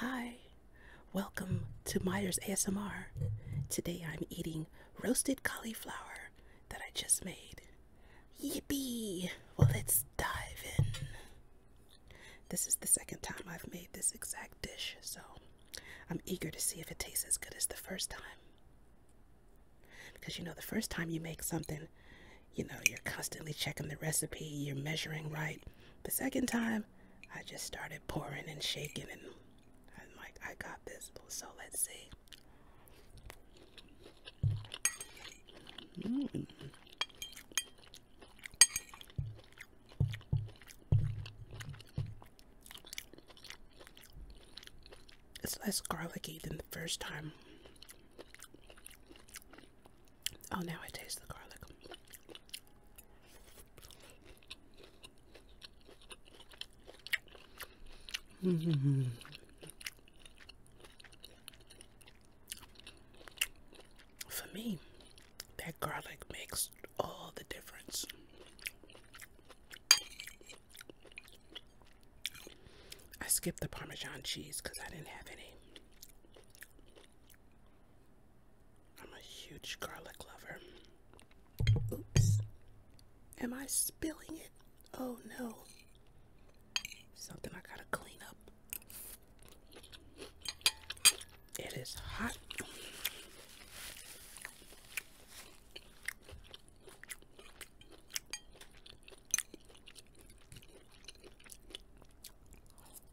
Hi, welcome to Myers ASMR. Today I'm eating roasted cauliflower that I just made. Yippee! Well, let's dive in. This is the second time I've made this exact dish, so I'm eager to see if it tastes as good as the first time. Because you know, the first time you make something, you know, you're constantly checking the recipe, you're measuring right. The second time, I just started pouring and shaking, and I'm like, I got this. So let's see. It's less garlicky than the first time. Oh, now I taste the garlic. For me, that garlic makes all the difference. I skipped the Parmesan cheese because I didn't have any. I'm a huge garlic lover. Oops. Am I spilling it? Oh no. Something I gotta clean up. It is hot.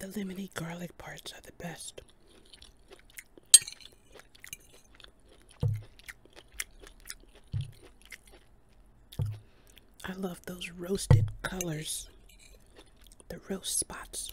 The lemony garlic parts are the best. I love those roasted colors, the roast spots.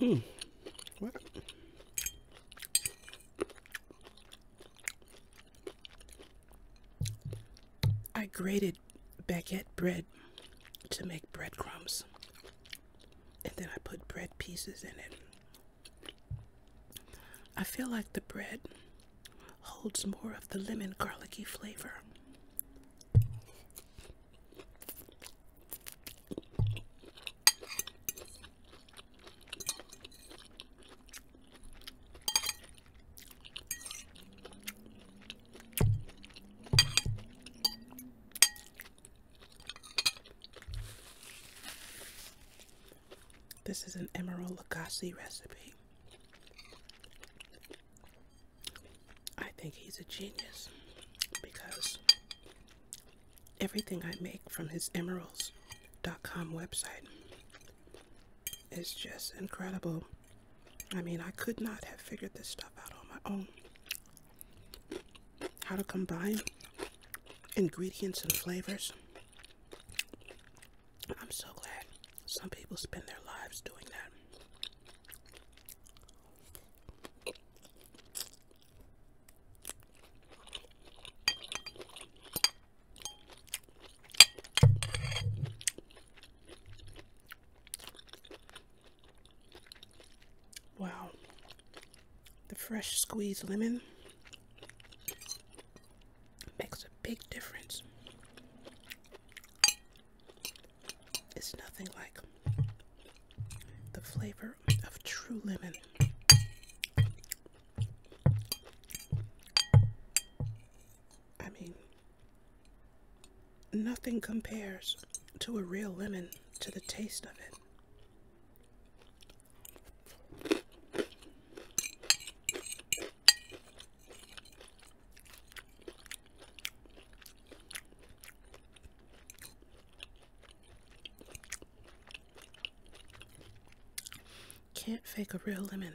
Mm. What? I grated baguette bread to make breadcrumbs. And then I put bread pieces in it. I feel like the bread holds more of the lemon garlicky flavor. This is an Emerald Lagasse recipe. I think he's a genius because everything I make from his emeralds.com website is just incredible. I mean, I could not have figured this stuff out on my own. How to combine ingredients and flavors. I'm so glad some people spend their lives doing that. Wow. The fresh squeezed lemon makes a big difference. It's nothing like the flavor of true lemon. I mean, nothing compares to a real lemon to the taste of it. Can't fake a real lemon.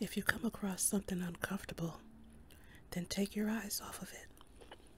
If you come across something uncomfortable, then take your eyes off of it.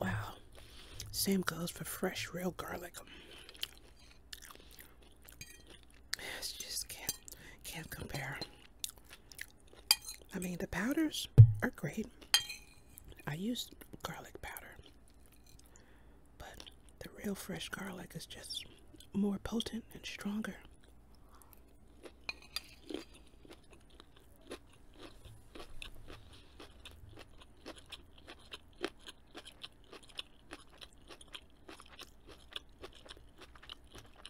Wow, same goes for fresh real garlic. It's just can't compare. I mean the powders are great. I use garlic powder, but the real fresh garlic is just more potent and stronger.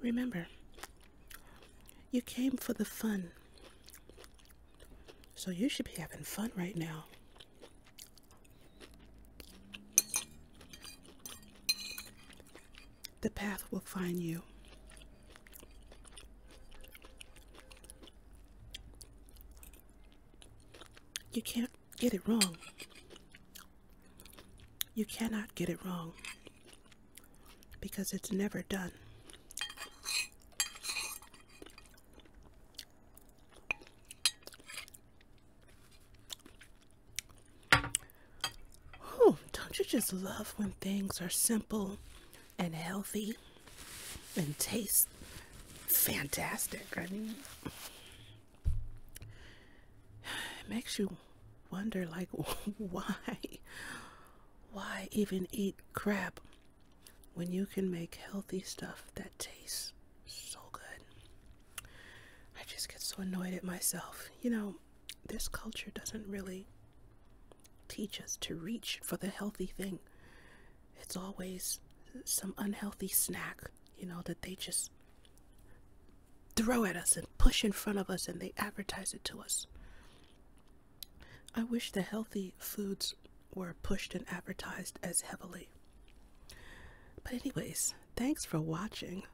Remember, you came for the fun. So you should be having fun right now. The path will find you. You can't get it wrong. You cannot get it wrong because it's never done. Oh, don't you just love when things are simple and healthy and taste fantastic. I mean, it makes you wonder, like, why? Why even eat crap when you can make healthy stuff that tastes so good? I just get so annoyed at myself. You know, this culture doesn't really teach us to reach for the healthy thing it's always some unhealthy snack, you know, that they just throw at us and push in front of us and they advertise it to us. I wish the healthy foods were pushed and advertised as heavily. But, anyways, thanks for watching.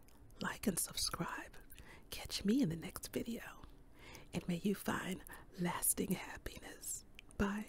Like and subscribe. Catch me in the next video. And may you find lasting happiness. Bye.